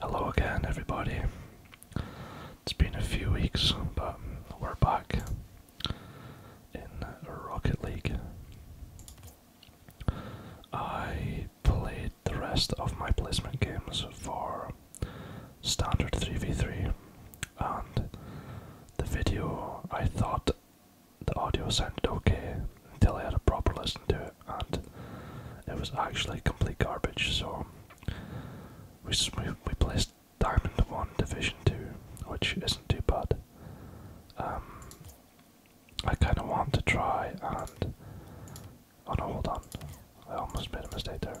Hello again, everybody. It's been a few weeks, but we're back in Rocket League. I played the rest of my placement games for standard 3v3 and the video I thought the audio sounded okay until I had a proper listen to it and it was actually complete garbage so we, we placed Diamond 1 Division 2 which isn't too bad. Um, I kind of want to try and. Oh hold on. I almost made a mistake there.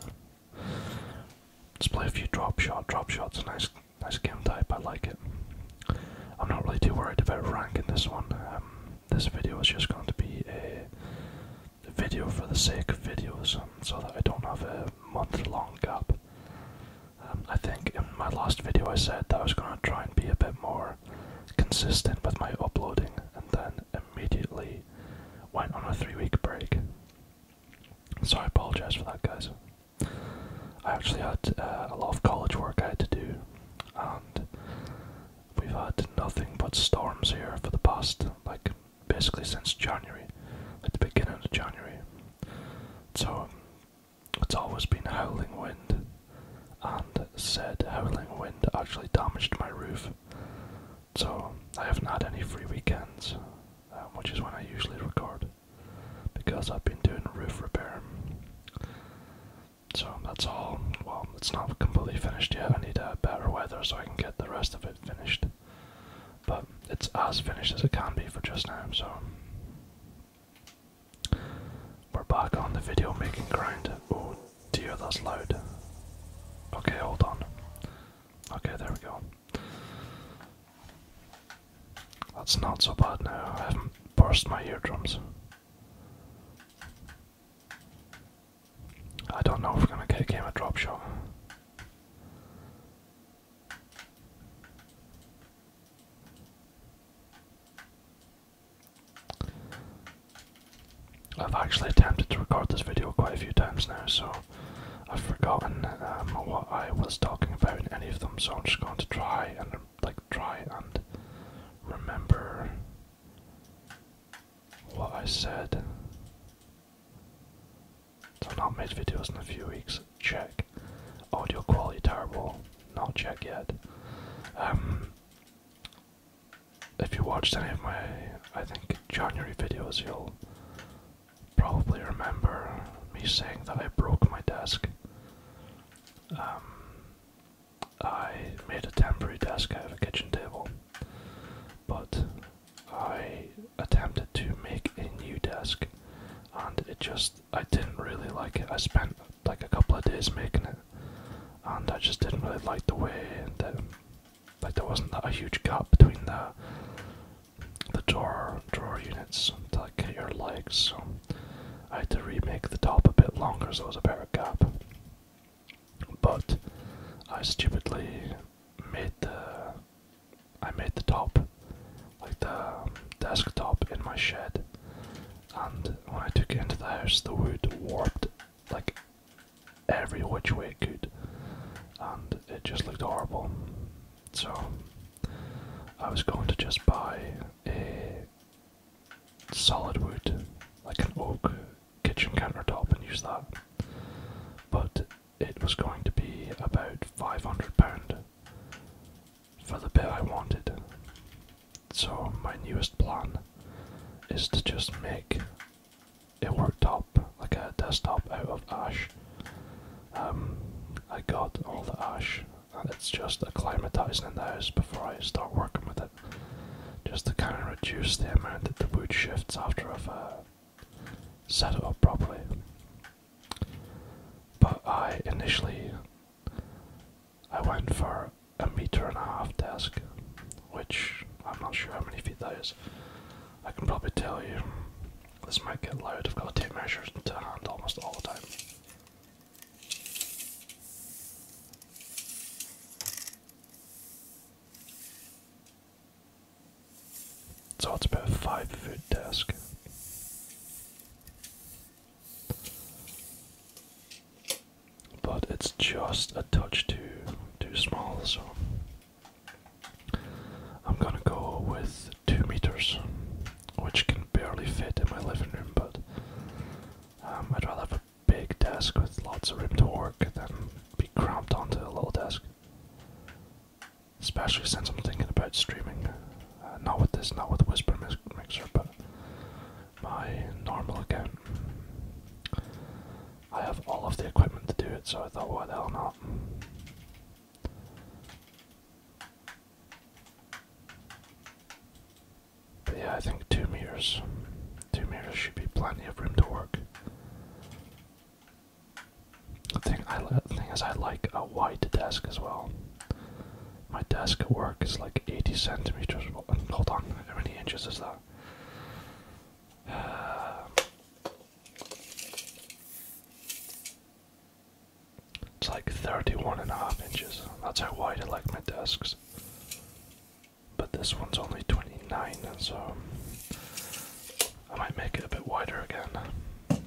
Let's play a few drop shot. Drop shot's a nice, nice game type. I like it. I'm not really too worried about ranking this one. Um, this video is just going to be a video for the sake of videos, um, so that I don't have a month-long gap. Um, I think in my last video I said that I was going to try and be a bit more consistent with my uploading, and then immediately went on a three-week break. So I apologize for that, guys. I actually had uh, a lot of college work I had to do, and we've had nothing but storms here for the past, like, basically since January, at the beginning of January. So it's always been howling wind, and said howling wind actually damaged my roof so I haven't had any free weekends, um, which is when I usually record, because I've been doing roof repair. So that's all. Well, it's not completely finished yet. I need uh, better weather so I can get the rest of it finished. But it's as finished as it can be for just now, so. We're back on the video making grind. Oh dear, that's loud. Okay, hold on. Okay, there we go. That's not so bad now. I haven't burst my eardrums. I don't know if we're gonna get a game drop shot. I've actually attempted to record this video quite a few times now, so I've forgotten um, what I was talking about in any of them, so I'm just going to try and like try and remember what I said. I've not made videos in a few weeks. Check. Audio quality terrible. Not checked yet. Um, if you watched any of my, I think January videos, you'll probably remember me saying that I broke my desk. Um, I made a temporary desk out of a kitchen table, but I attempted to make a new desk and it just, I didn't really like it. I spent like a couple of days making it and I just didn't really like the way that like there wasn't a huge gap between the the drawer drawer units to like get your legs, so I had to remake the top a bit longer so there was a of gap. But I stupidly made the I made the top like the um, desktop in my shed and when I took it into the house the wood warped like every which way it could, and it just looked horrible. So I was going to just buy a solid wood, like an oak kitchen countertop, and use that. But it was going to be about five hundred pound for the bit I wanted. So my newest plan is to just make it worked up like a desktop out of ash. Um, I got all the ash, and it's just acclimatizing in the house before I start working with it, just to kind of reduce the amount that the wood shifts after I've uh, set it up properly. But I initially I went for a meter and a half desk which I'm not sure how many feet that is. I can probably tell you. This might get loud, I've got to take measures to hand almost all the time. So it's about a five foot desk. But it's just a touch too too small, so I'm gonna go with two meters, which can barely fit in my living room, but um, I'd rather have a big desk with lots of room to work than be cramped onto a little desk. Especially since I'm thinking about streaming. Uh, not with this, not with Whisper Mix Mixer, but my normal account. I have all of the equipment to do it, so I thought, why the hell not? yeah, I think two meters, two meters should be plenty of room to work. The thing I the thing is, I like a wide desk as well. My desk at work is like 80 centimeters. Hold on, how many inches is that? Uh, it's like 31 and a half inches. That's how wide I like my desks. But this one's only 29, so um, I might make it a bit wider again. But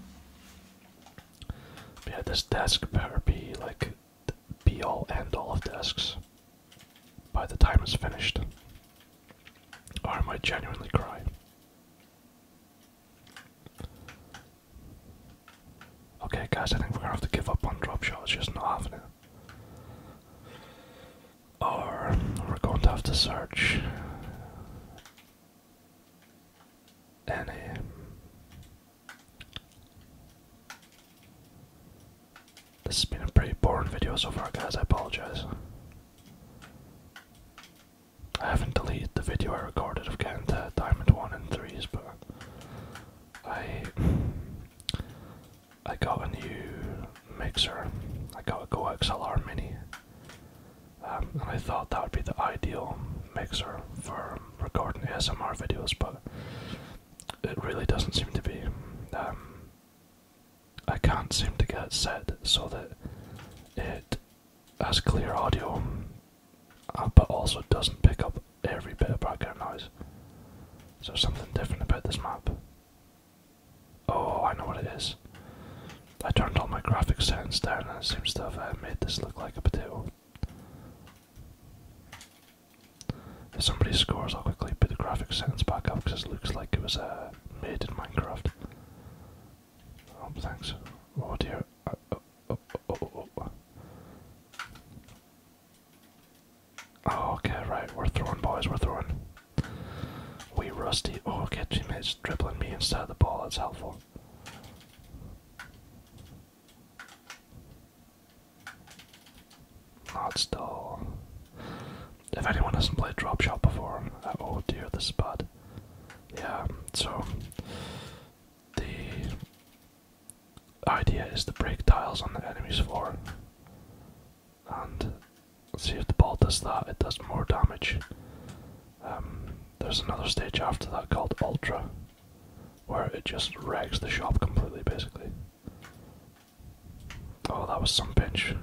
yeah, this desk better be like be all and all of desks by the time it's finished. Or I might genuinely cry. Okay, guys, I think we're gonna have to give up on drop shots, just not having it. Or we're going to have to search any. This has been a pretty boring video so far, guys. I apologize. I haven't deleted the video I recorded of getting the Diamond 1 and 3s, but I I got a new mixer. I got a Go XLR Mini, um, and I thought that would be the ideal mixer for recording ASMR videos, but it really doesn't seem to be. Um, I can't seem to get set so that it has clear audio uh, but also doesn't pick up every bit of background noise. So something different about this map. Oh, I know what it is. I turned all my graphics settings down and it seems to have uh, made this look like a potato. If somebody scores, I'll quickly put the graphics settings back up because it looks like it was uh, made in Minecraft. Oh, thanks. Oh dear. Uh, uh, uh, oh, okay, right. We're throwing, boys. We're throwing. We rusty. Oh, him! It's dribbling me instead of the ball. It's helpful. Not still. If anyone hasn't played Drop Shot before, uh, oh dear, this is bad. Yeah, so the idea is to break tiles on the enemy's floor and see if the ball does that, it does more damage. Um, there's another stage after that called Ultra, where it just wrecks the shop completely basically. Oh, that was some pinch.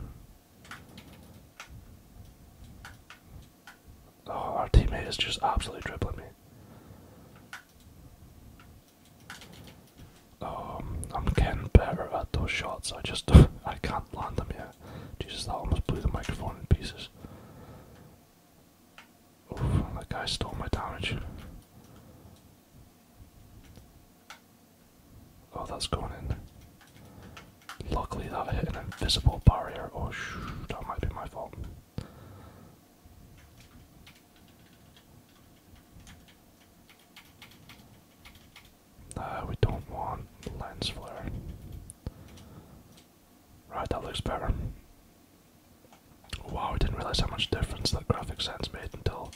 Oh, our teammate is just absolutely dribbling me. Um, I'm getting better at those shots. I just I can't land them yet. Jesus, that almost blew the microphone in pieces. Oof, that guy stole my damage. Oh, that's going in. Luckily, that hit an invisible barrier. Oh, shoot, that might be my fault. Uh, we don't want lens flare. Right, that looks better. Wow, I didn't realize how much difference that graphic sense made until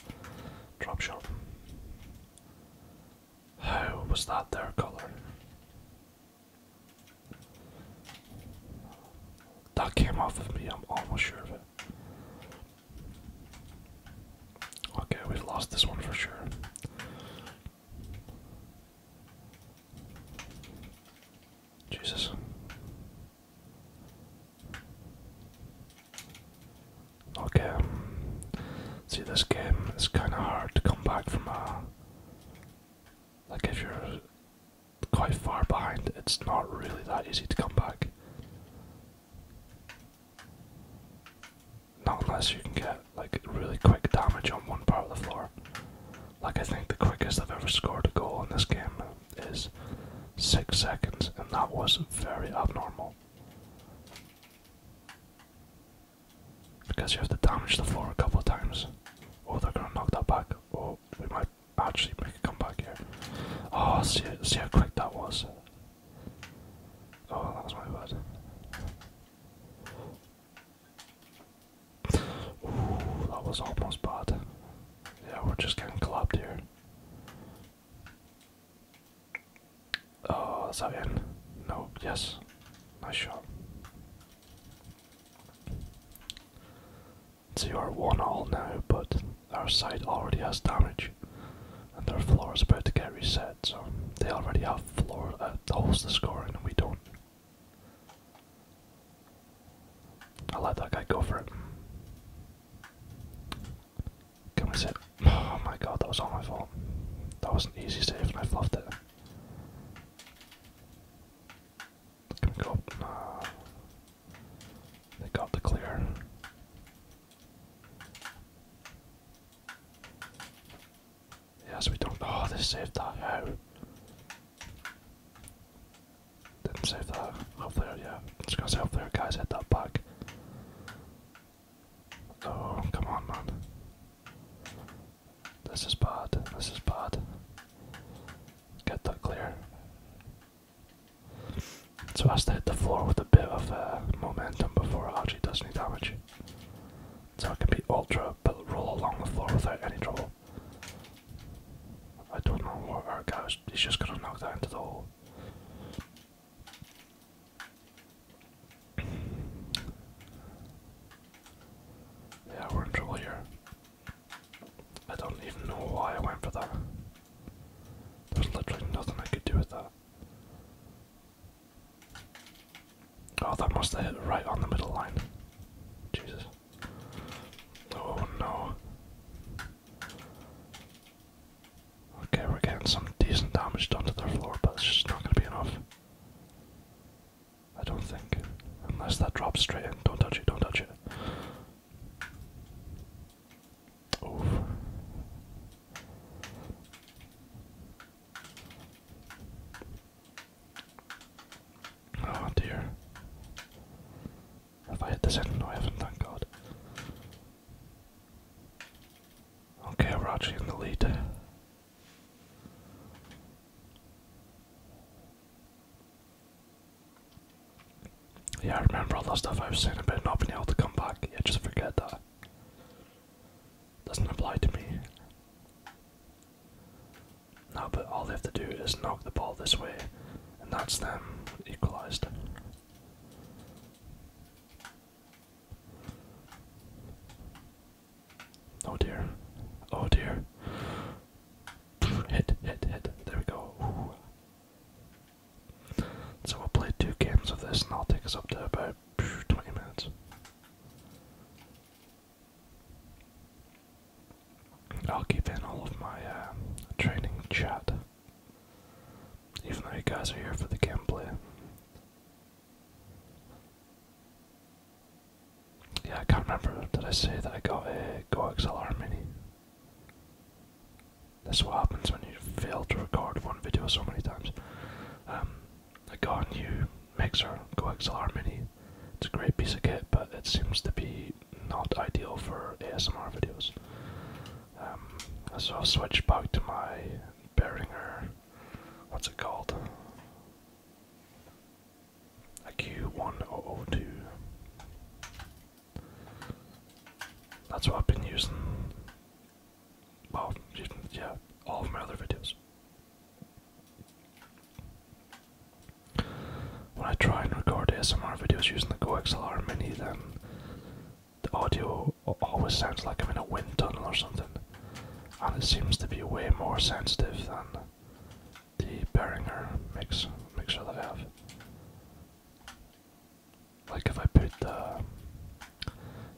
Drop Shot. How was that their colour? That came off of me, I'm almost sure of it. Okay, we've lost this one for sure. Jesus. Okay. See, this game is kind of hard to come back from uh, Like, if you're quite far behind, it's not really that easy to come back. Not unless you can get, like, really quick damage on one part of the floor. Like, I think the quickest I've ever scored a goal in this game is six seconds, and that was very abnormal. Because you have to damage the floor a couple times. or they're gonna knock that back. or we might actually make it come back here. Oh, see, how quick that was. Oh, that was my bad. Ooh, that was almost bad. Yeah, we're just getting collabed here. O, oh, Zawian. No, yes. Nice shot. So you one all now, but our side already has damage, and their floor is about to get reset. So they already have floor uh, holes to score and we don't. I'll let that guy go for it. Can we sit? Oh my god, that was all my fault. That was an easy save and I fluffed it. Can we go up? They got the clear. Yes, we don't. Oh, they saved that. How? Didn't save that. Hopefully, yeah. Let's go gonna guys hit that back. Oh, come on, man. This is bad. This is bad. Get that clear. So has to hit the floor with a bit of uh, momentum before it actually does any damage. So I can be ultra, but roll along the floor without any trouble. I don't know what our guy's. He's just gonna knock that into the hole. Yeah, we're in trouble here. I don't even know why I went for that. There's literally nothing I could do with that. Oh, that must have hit right on the middle line. Jesus. Oh no. Okay, we're getting some decent damage done to their floor, but it's just not going to be enough. I don't think. Unless that drops straight in. Don't touch it, don't touch it. Oh dear. Have I hit this in? No, I haven't, thank god. Okay, Raji in the lead. Yeah, I remember all that stuff I was saying about not being able to come back. Yeah, just forget that. Doesn't apply to me. No, but all they have to do is knock the ball this way, and that's them equalized. Oh dear. Oh dear. hit, hit, hit. There we go. So we'll play two games of this and that will take us up to about 20 minutes. I'll keep in all of my uh, training chat, even though you guys are here for the gameplay. Yeah, I can't remember. Did I say that I got a Go XLR Mini? That's what happens when you fail to record one video so many times. Um, I got a new mixer, Go XLR Mini. It's a great piece of kit, but it seems to be not ideal for ASMR videos. so um, I'll switch back to my Behringer what's it called? A Q1002. That's what I've been using. Well, yeah, all of my other videos. When I try and record S M R videos using the Go X L R Mini, then the audio always sounds like I'm in a wind tunnel or something, and it seems to be way more sensitive than the Behringer mix mixer that I have. Like if I put the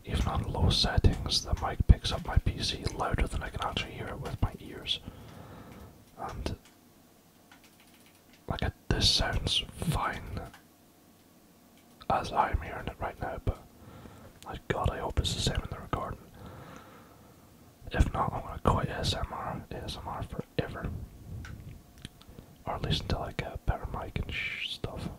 even on low settings, the mic picks up my PC louder than I can actually hear it with my ears, and like this sounds fine as I'm hearing it right now, but my god, I hope it's the same in the recording. If not, I'm gonna quit ASMR, ASMR forever. Or at least until I get a better mic and stuff.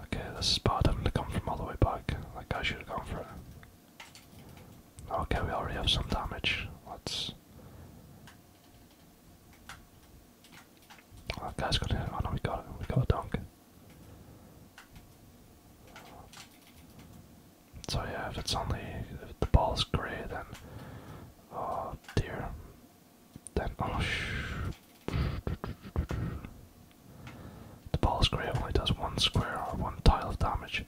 Okay, this is bad having to come from all the way back. Like, I should have gone for it. Okay, we already have some damage. Let's. Oh, got it. Oh no, we got it. We got a dunk. So yeah, if it's only if the ball's grey, then oh dear, then oh shh. The ball's grey only does one square or one tile of damage.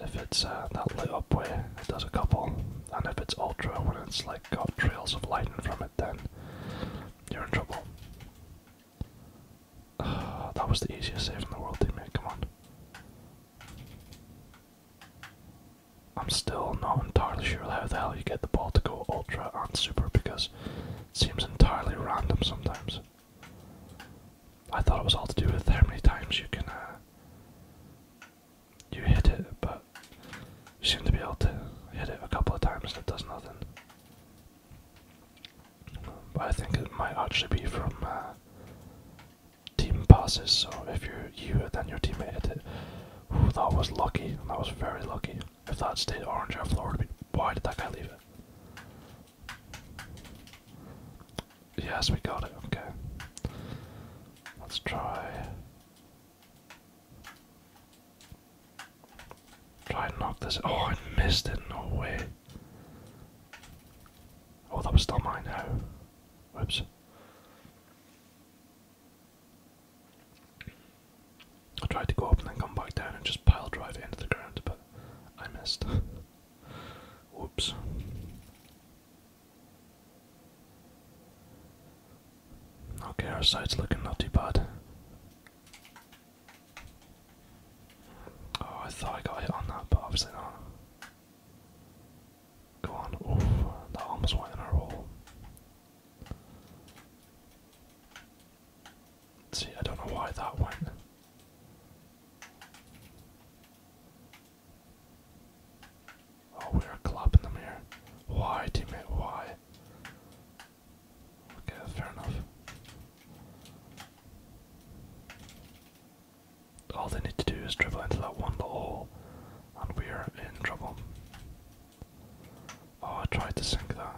If it's uh, that lit up way, it does a couple, and if it's ultra, when it's like got trails of lightning from it, then you're in trouble. Ah, that was the easiest save in the world, did Come on. I'm still not entirely sure how the hell you get the ball to go ultra on super because it seems entirely random sometimes. I thought it was all to do with how many times you can uh, you hit it, but you seem to be able to hit it a couple of times and it does nothing. But um, I think it might actually be from uh, team passes, so if you're you then your teammate hit it. Ooh, that was lucky, that was very lucky. If that stayed orange, our floor Why did that guy leave it? Yes, we got it, okay. Let's try Try and knock this. Oh, I missed it. No way. Oh, that was still mine now. Whoops. I tried to go up and then come back down and just pile drive into the ground, but I missed. Whoops. Okay, our side's looking not too bad. Oh, I thought I got hit on that, but obviously not. Go on. Ooh, that almost went in our hole. See, I don't know why that went. Oh, we're a club in Why, teammate? Why? Okay, fair enough. All they need to do is dribble into that one little hole, and we're in trouble. Oh, I tried to sink that.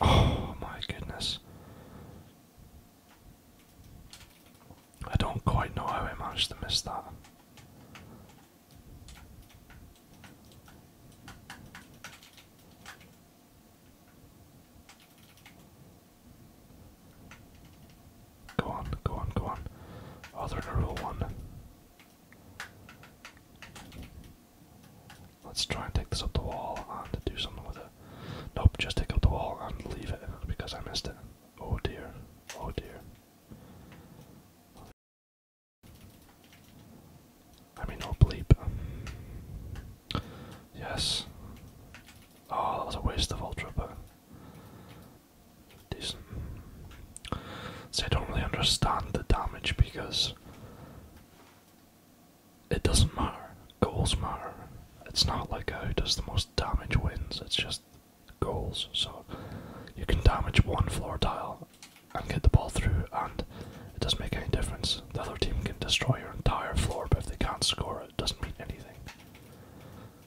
Oh my goodness. I don't quite know how I managed to miss that. Go on, go on, go on. Oh, they a row one. Let's try and take this up the wall and do something with it. Nope, just take out the wall and leave it because I missed it. Oh dear, oh dear. I mean, oh bleep. Yes. Oh, that was a waste of Ultra, but. Decent. See, I don't really understand the damage because it doesn't matter. Goals matter. It's not like who does the most damage wins, it's just goals. So you can damage one floor tile and get the ball through, and it doesn't make any difference. The other team can destroy your entire floor, but if they can't score, it doesn't mean anything.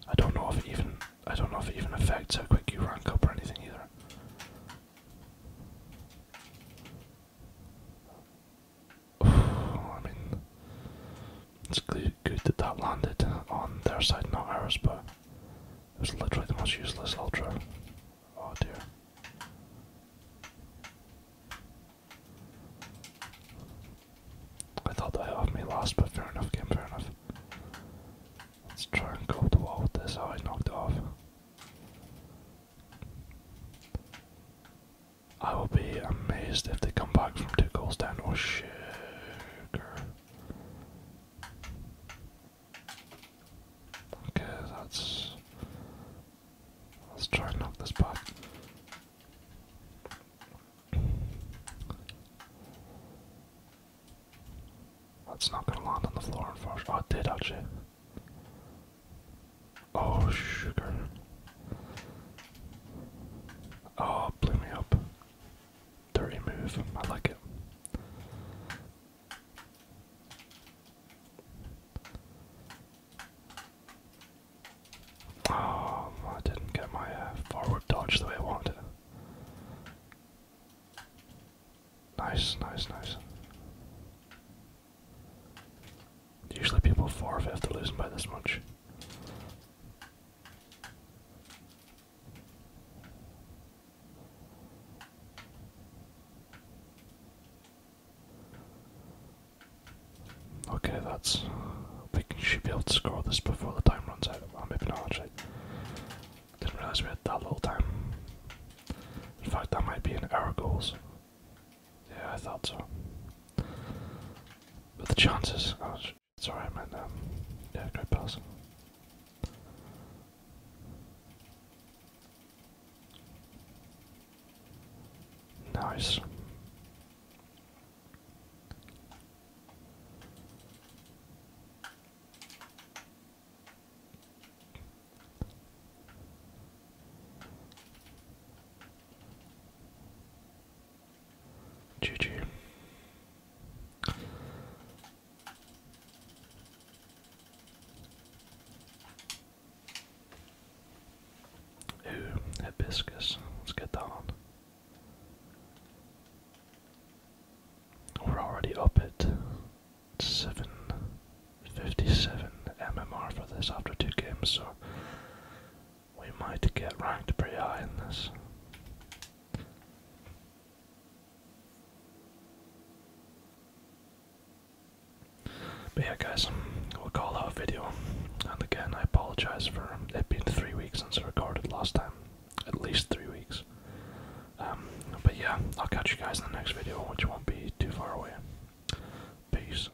I don't know if it even I don't know if it even affects how quick you rank up or anything either. I mean, it's good that that landed on their side, not ours, but it was literally the most useless ultra. Oh dear. I thought that off me last, but fair enough, game, fair enough. Let's try and go to wall with this. Oh, I knocked off. I will be amazed if they come back from two goals down or oh, sugar. Okay, that's. Let's try and knock this back. That's not gonna land on the floor, unfortunately. Oh, it did actually. Oh, sugar. Oh, blew me up. Dirty move. I like it. Oh, I didn't get my uh, forward dodge the way I wanted. Nice, nice, nice. Usually people forfeit after losing by this much. Okay, that's. We should be able to score this before the time runs out. Well, maybe not Didn't realize we had that little time. In fact, that might be in our goals. Yeah, I thought so. But the chances. Oh, it's alright, man. yeah, great pass. Nice. GG. Ooh, hibiscus. Let's get that on. We're already up at 757 MMR for this after two games, so we might get ranked pretty high in this. But yeah, guys, we'll call that video. And again, I apologize for it being three weeks since I recorded last time. At least three weeks. Um, but yeah, I'll catch you guys in the next video, which won't be too far away. Peace.